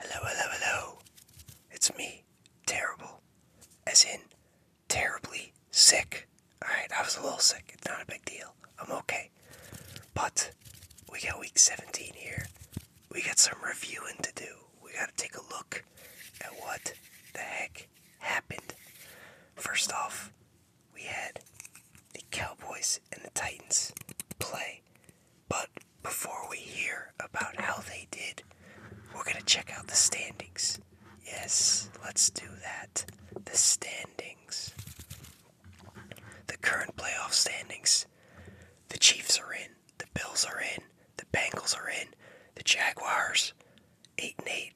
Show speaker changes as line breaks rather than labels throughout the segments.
Hello, hello, hello. It's me, terrible. As in, terribly sick. Alright, I was a little sick. It's not a big deal. I'm okay. But, we got week 17 here. We got some reviewing to do. We gotta take a look at what the heck happened. First off, we had the Cowboys and the Titans play. But before we hear about how they did, we're going to check out the standings. Yes, let's do that. The standings. The current playoff standings. The Chiefs are in, the Bills are in, the Bengals are in, the Jaguars 8 and 8.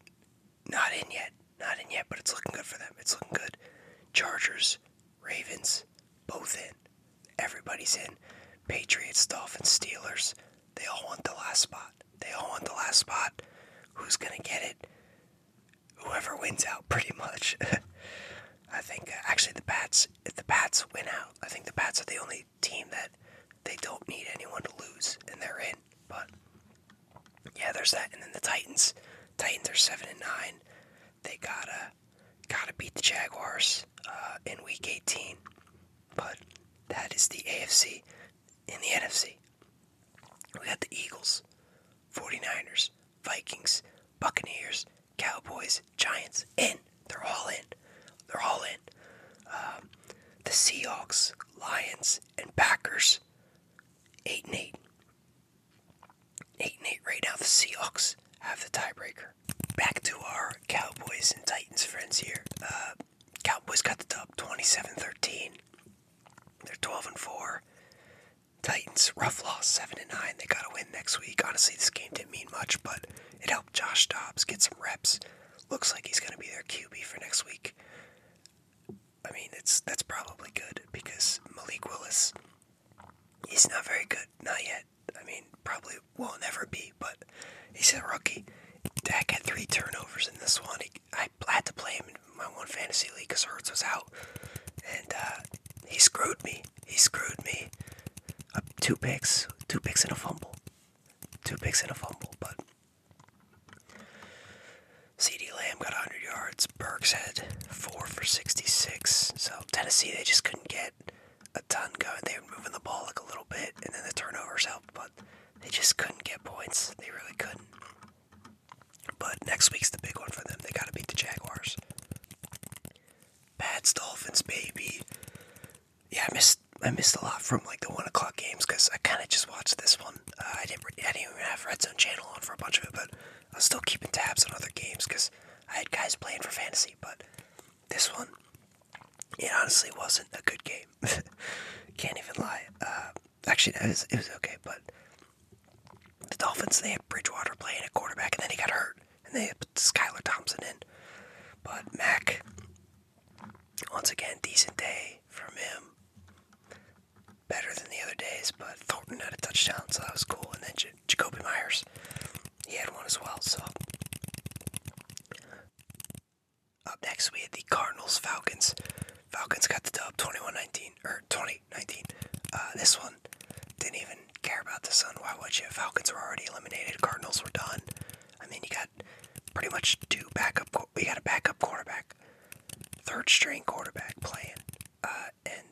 Not in yet. Not in yet, but it's looking good for them. It's looking good. Chargers Ravens, both in. Everybody's in. Patriots, Dolphins, Steelers, they all want the last spot. They all want the last spot. Who's going to get it? Whoever wins out, pretty much. I think, uh, actually, the Pats, if the Pats win out, I think the Pats are the only team that they don't need anyone to lose, and they're in. But, yeah, there's that. And then the Titans. Titans are 7 and 9. They got to uh, Gotta beat the Jaguars uh, in Week 18. But that is the AFC. In the NFC, we got the Eagles, 49ers, Vikings, Buccaneers, Cowboys, Giants. In. They're all in. They're all in. Um, the Seahawks, Lions, and Packers, eight and eight. Eight and eight right now. The Seahawks have the tiebreaker. Back to our Cowboys and Titans friends here. Uh, Cowboys got the dub, 27-13. They're 12 and four. Titans rough loss, seven and nine. They got to win next week. Honestly, this game didn't mean much, but it helped Josh Dobbs get some reps. Looks like he's going to be their QB for next week. I mean, it's that's probably good because Malik Willis he's not very good, not yet. I mean, probably will not ever be, but he's a rookie. Dak had three turnovers in this one. I had to play him in my one fantasy league because Hurts was out, and uh, he screwed me. He screwed me. Uh, two picks, two picks and a fumble, two picks and a fumble. But C.D. Lamb got 100 yards, against Berg's Head, four for 66. So Tennessee, they just couldn't get a ton going. They were moving the ball like a little bit, and then the turnovers helped, but they just couldn't get points. They really couldn't. But next week's the big one for them. They got to beat the Jaguars. Pats Dolphins, baby. Yeah, I missed I missed a lot from like the one o'clock games because I kind of just watched this one. Uh, I didn't I didn't even have Red Zone Channel on for a bunch of it, but I was still keeping tabs on other games because I had guys playing for fantasy, but this one, it honestly wasn't a good game. Can't even lie. Uh, actually, it was, it was okay, but the Dolphins, they had Bridgewater playing at quarterback, and then he got hurt, and they put Skylar Thompson in. But Mac, once again, decent day from him better than the other days, but Thornton had a touchdown, so that was cool. And then Jacoby Myers, he had one as well. So up next we had the Cardinals Falcons. Falcons got the dub twenty one nineteen or twenty nineteen. Uh, this one didn't even care about the sun. Why would you? Falcons were already eliminated. Cardinals were done. I mean, you got pretty much two backup. We got a backup quarterback, third string quarterback playing, uh, and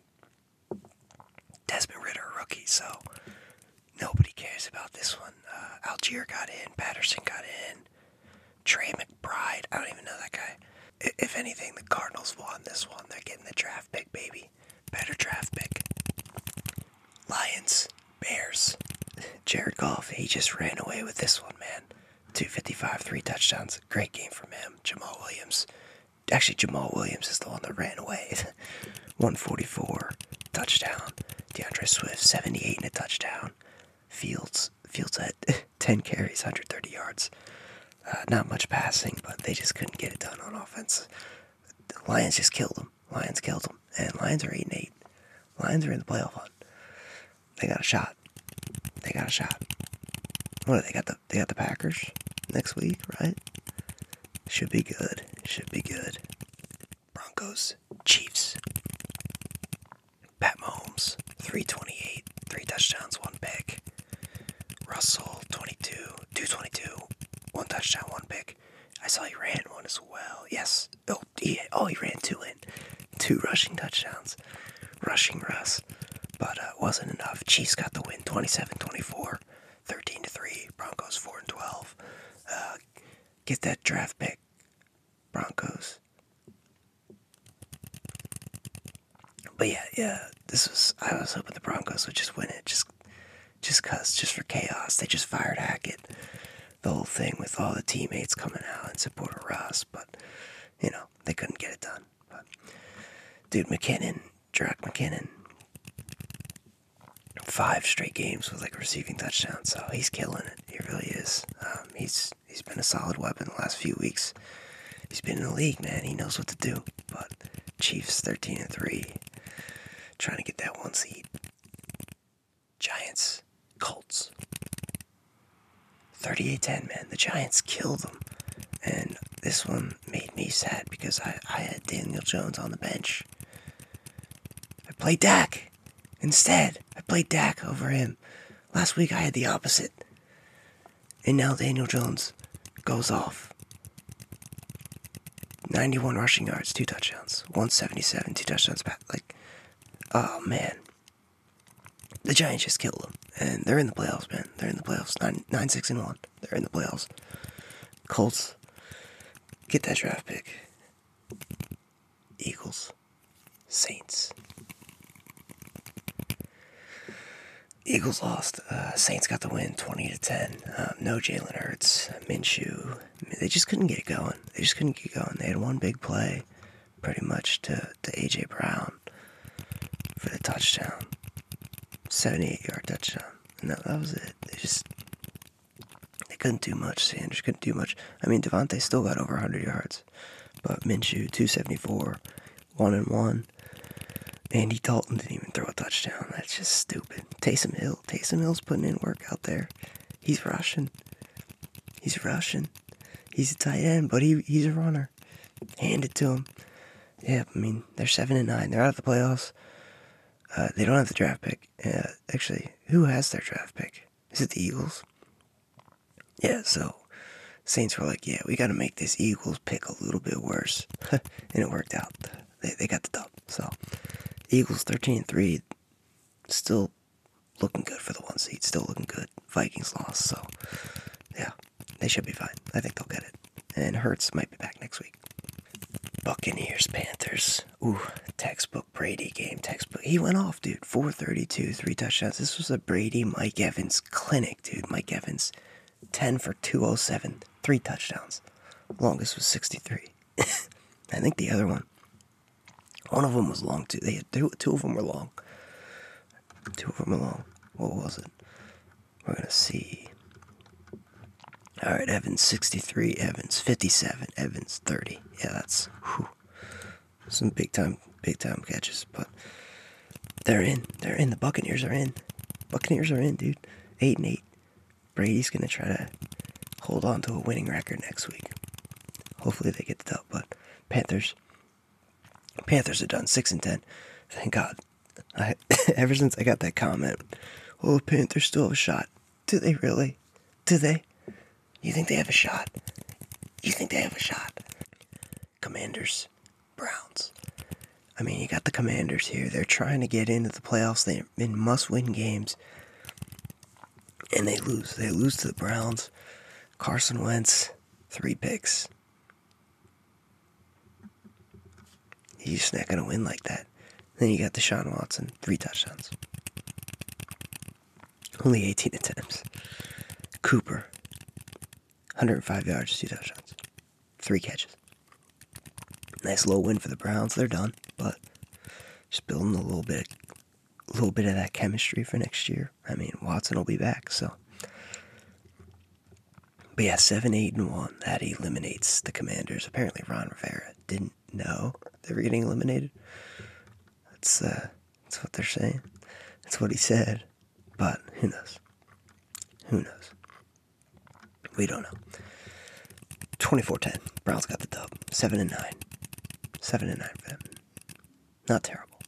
Desmond Ritter, rookie, so nobody cares about this one. Uh, Algier got in, Patterson got in, Trey McBride, I don't even know that guy. If anything, the Cardinals won this one. They're getting the draft pick, baby. Better draft pick. Lions, Bears. Jared Goff, he just ran away with this one, man. 255, three touchdowns. Great game from him. Jamal Williams, Actually, Jamal Williams is the one that ran away. 144 touchdown. DeAndre Swift 78 and a touchdown. Fields Fields had 10 carries, 130 yards. Uh, not much passing, but they just couldn't get it done on offense. Lions just killed them. Lions killed them, and Lions are eight eight. Lions are in the playoff hunt. They got a shot. They got a shot. What do they got? The they got the Packers next week, right? Should be good. Should be good. Broncos, Chiefs. Pat Mahomes, 328, three touchdowns, one pick. Russell, 22, 222, one touchdown, one pick. I saw he ran one as well. Yes. Oh, yeah. oh, he ran two in. Two rushing touchdowns. Rushing Russ but uh, wasn't enough. Chiefs got the win 27 24, 13 3, Broncos 4 and 12. Uh, get that draft pick, Broncos. But yeah, yeah, this was I was hoping the Broncos would just win it, just just cause, just for chaos. They just fired Hackett. The whole thing with all the teammates coming out and supporting of but you know, they couldn't get it done. But dude, McKinnon, Jarek McKinnon, five straight games with like receiving touchdowns. So he's killing it. He really is. Um, he's he's been a solid weapon the last few weeks. He's been in the league, man. He knows what to do. But Chiefs thirteen and three, trying to get that one seed. Giants, Colts. 38-10, man. The Giants killed them. And this one made me sad because I, I had Daniel Jones on the bench. I played Dak. Instead, I played Dak over him. Last week I had the opposite. And now Daniel Jones goes off. 91 rushing yards, two touchdowns. 177, two touchdowns back. Like, oh man the Giants just killed them, and they're in the playoffs, man. They're in the playoffs. Nine, nine, six, and one. They're in the playoffs. Colts, get that draft pick. Eagles, Saints. Eagles lost. Uh, Saints got the win, twenty to ten. Um, no Jalen Hurts, Minshew. They just couldn't get going. They just couldn't get going. They had one big play, pretty much to to AJ Brown for the touchdown. 78 yard touchdown. And that, was it. They just they couldn't do much. Sanders couldn't do much. I mean, Devonte still got over 100 yards, but Minshew 274, one and one. Andy Dalton didn't even throw a touchdown. That's just stupid. Taysom Hill. Taysom Hill's putting in work out there. He's rushing. He's rushing. He's a tight end, but he, he's a runner hand it to them. Yeah, I mean they're seven and nine. They're out of the playoffs. Uh, they don't have the draft pick. actually, who has their draft pick? Is it the Eagles? Yeah. So Saints were like, yeah, we got to make this Eagles pick a little bit worse, and it worked out. They they got the dub. So Eagles thirteen and three, still looking good for the one seed. Still looking good. Vikings lost. So yeah. They should be fine. I think they'll get it. And Hertz might be back next week. Buccaneers, Panthers. Ooh, textbook Brady game. Textbook. He went off, dude. 432, three touchdowns. This was a Brady Mike Evans clinic, dude. Mike Evans, 10 for 207, three touchdowns. Longest was 63. I think the other one, one of them was long too. They had two, two of them were long two of them along. What was it? We're gonna see. All right, Evans 63, Evans 57, Evans 30. Yeah, that's some big time, big time catches. But they're in. They're in. The Buccaneers are in. Buccaneers are in, dude. Eight and eight. Brady's gonna try to hold on to a winning record next week. Hopefully they get the dub. But Panthers Panthers are done six and ten. Thank God. I, ever since I got that comment, oh Panthers still have a shot. Do they really? Do they? You think they have a shot? You think they have a shot? Commanders, Browns. I mean, you got the Commanders here. They're trying to get into the playoffs. They're in must-win games, and they lose. They lose to the Browns. Carson Wentz, three picks. He's not going to win like that. Then you got Deshaun Watson, three touchdowns. Only 18 attempts. Cooper, 105 yards, two touchdowns, three catches. Nice low win for the Browns. They're done, but just building a little bit, a little bit of that chemistry for next year. I mean, Watson will be back, so. But yeah, 7, 8, and 1. That eliminates the commanders. Apparently, Ron Rivera didn't know they were getting eliminated. That's, uh, that's what they're saying. That's what he said. But who knows? Who knows? We don't know. 24 10. Browns got the dub. 7 and 9. 7 and 9 for them. Not terrible.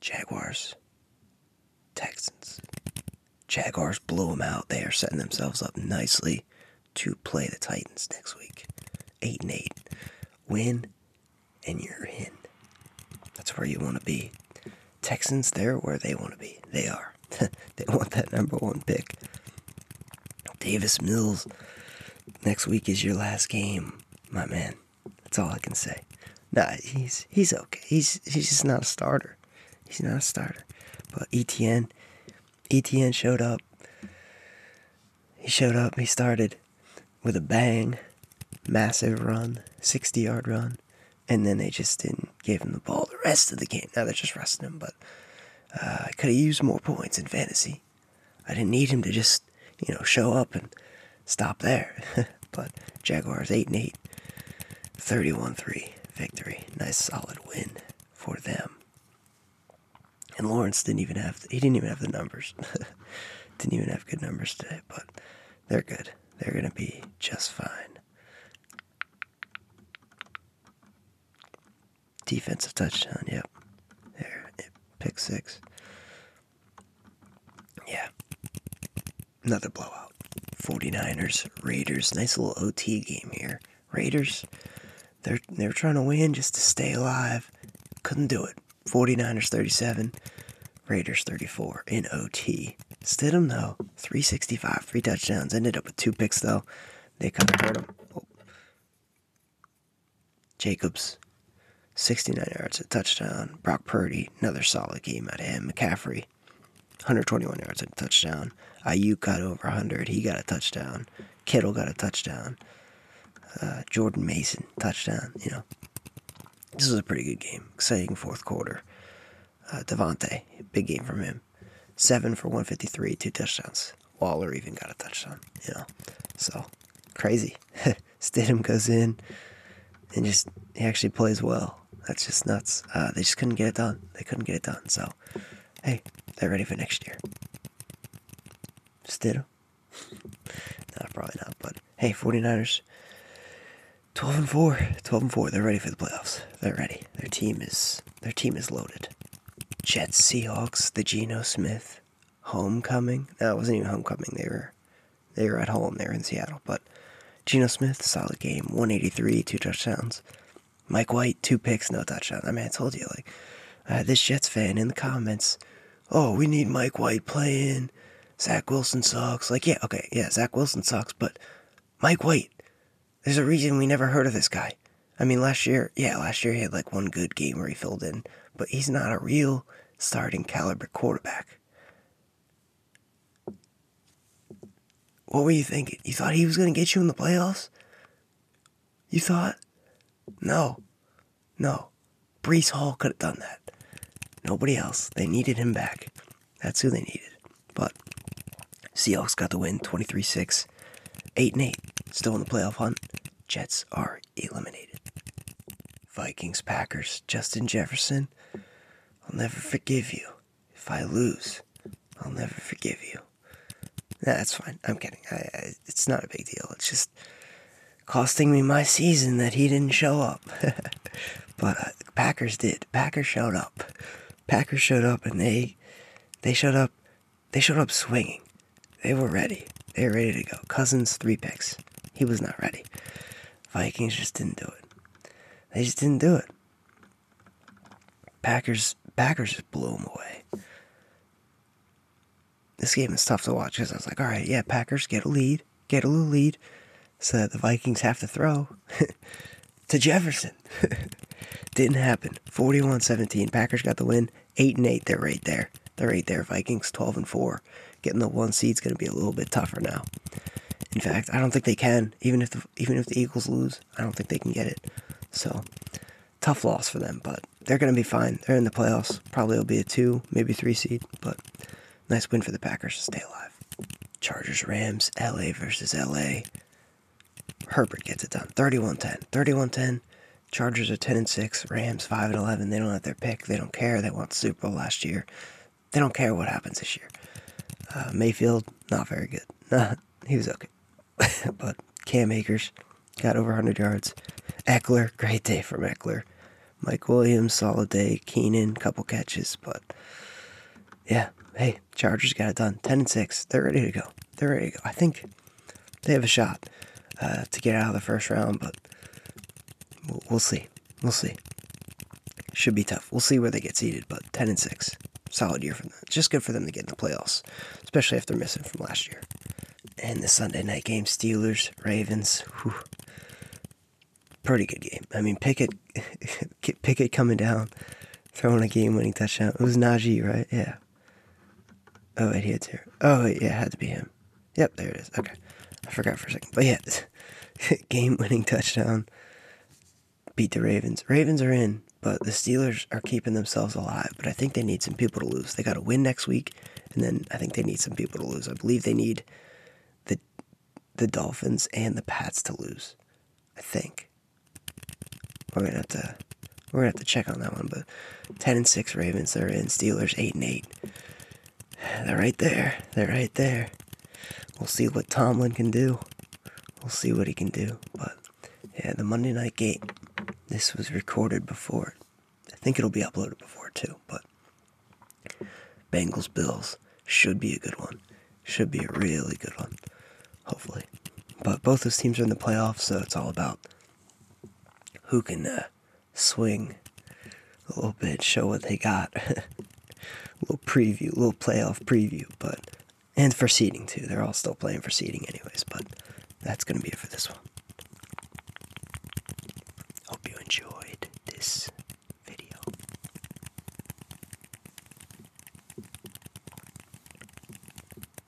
Jaguars, Texans. Jaguars blew them out. They are setting themselves up nicely to play the Titans next week. 8 and 8. Win and you're in. That's where you want to be. Texans, they're where they want to be. They are. they want that number one pick. Davis Mills, next week is your last game, my man. That's all I can say. Nah, he's he's okay. He's he's just not a starter. He's not a starter. But ETN, ETN showed up. He showed up. He started with a bang, massive run, 60 yard run, and then they just didn't give him the ball the rest of the game. Now they're just resting him, but I uh, could have used more points in fantasy. I didn't need him to just, you know, show up and stop there. but Jaguars 8 and 8, 31 3 victory. Nice solid win for them. And Lawrence didn't even have the, he didn't even have the numbers. didn't even have good numbers today, but they're good. They're going to be just fine. Defensive touchdown, yep. There, pick six. Yeah. Another blowout. 49ers, Raiders. Nice little OT game here. Raiders, they're, they're trying to win just to stay alive. Couldn't do it. 49ers 37, Raiders 34 in OT. Stidham, though, 365, three touchdowns. Ended up with two picks, though. They kind of hurt him. Jacobs, 69 yards, a touchdown. Brock Purdy, another solid game out of him. McCaffrey, 121 yards a touchdown. IU got over 100. He got a touchdown. Kittle got a touchdown. Uh, Jordan Mason, touchdown. You know, this was a pretty good game. Exciting fourth quarter. Uh, Devontae, big game from him. Seven for 153, two touchdowns. Waller even got a touchdown. You know, so crazy. Stidham goes in and just he actually plays well. That's just nuts. Uh, they just couldn't get it done. They couldn't get it done. So, hey, they're ready for next year. Stidham? no, probably not. But hey, 49ers, 12 and 4, 12 and 4. They're ready for the playoffs. They're ready. Their team is their team is loaded. Jets, Seahawks, the Geno Smith, Homecoming. No, it wasn't even Homecoming. They were they were at home. there in Seattle. But Gino Smith, solid game, 183, two touchdowns. Mike White, two picks, no touchdown. I mean, I told you, like, uh, this Jets fan in the comments, oh, we need Mike White playing. Zach Wilson sucks. Like, yeah, okay, yeah, Zach Wilson sucks, but Mike White, there's a reason we never heard of this guy. I mean, last year, yeah, last year he had like one good game where he filled in but he's not a real starting caliber quarterback. What were you thinking? You thought he was going to get you in the playoffs? You thought? No. No. Brees Hall could have done that. Nobody else. They needed him back. That's who they needed. But Seahawks got the win 23 6, 8 and 8. Still in the playoff hunt. Jets are eliminated. Vikings, Packers, Justin Jefferson, I'll never forgive you. If I lose, I'll never forgive you. that's fine. I'm kidding. it's not a big deal. It's just costing me my season that he didn't show up. but uh, Packers did. Packers showed up. Packers showed up, and they they showed up they showed up swinging. They were ready. They were ready to go. Cousins, three picks. He was not ready. Vikings just didn't do it. They just didn't do it. Packers, Packers just blew them away. This game is tough to watch because I was like, all right, yeah, Packers get a lead, get a little lead, so that the Vikings have to throw to Jefferson. didn't happen. 41 17. Packers got the win eight and eight. They're right there. They're right there. Vikings twelve and four. Getting the one seed's going to be a little bit tougher now. In fact, I don't think they can. Even if even if the Eagles lose, I don't think they can get it. So tough loss for them, but they're going to be fine. They're in the playoffs. Probably will be a two, maybe three seed, but nice win for the Packers to stay alive. Chargers, Rams, LA versus LA. Herbert gets it done. 31 10. 31 10. Chargers are 10 and 6, Rams 5 and 11. They don't have their pick. They don't care. They won Super Bowl last year. They don't care what happens this year. Uh, Mayfield, not very good. Nah, he was okay. but Cam Akers got over 100 yards. Eckler, great day for Eckler. Mike Williams, solid day. Keenan, couple catches. But yeah, hey, Chargers got it done. 10 and 6. They're ready to go. They're ready I think they have a shot uh, to get out of the first round, but we'll, see. We'll see. Should be tough. We'll see where they get seeded, but 10 and 6. Solid year from them. Just good for them to get in the playoffs, especially if they're missing from last year. And the Sunday night game, Steelers, Ravens. pretty good game. I mean, Pickett, Pickett coming down, throwing a game-winning touchdown. It was Najee, right? Yeah, Oh it hits here. Oh yeah, it had to be him. Yep, there it is. Okay, I forgot for a second. But yeah, game-winning touchdown. Beat the Ravens. Ravens are in, but the Steelers are keeping themselves alive. But I think they need some people to lose. They got to win next week, and then I think they need some people to lose. I believe they need the the Dolphins and the Pats to lose. I think. We're gonna have to we're gonna have to check on that one, but ten and six Ravens, they're in. Steelers eight and eight. They're right there. They're right there. We'll see what Tomlin can do. We'll see what he can do. But yeah, the Monday night game. This was recorded before. I think it'll be uploaded before too, but Bengals Bills should be a good one. Should be a really good one. Hopefully. But both those teams are in the playoffs, so it's all about who can uh, swing a little bit, show what they got. a little preview, little playoff preview, but and for seeding too. They're all still playing for seeding anyways, but that's gonna be it for this one. Hope you enjoyed this video.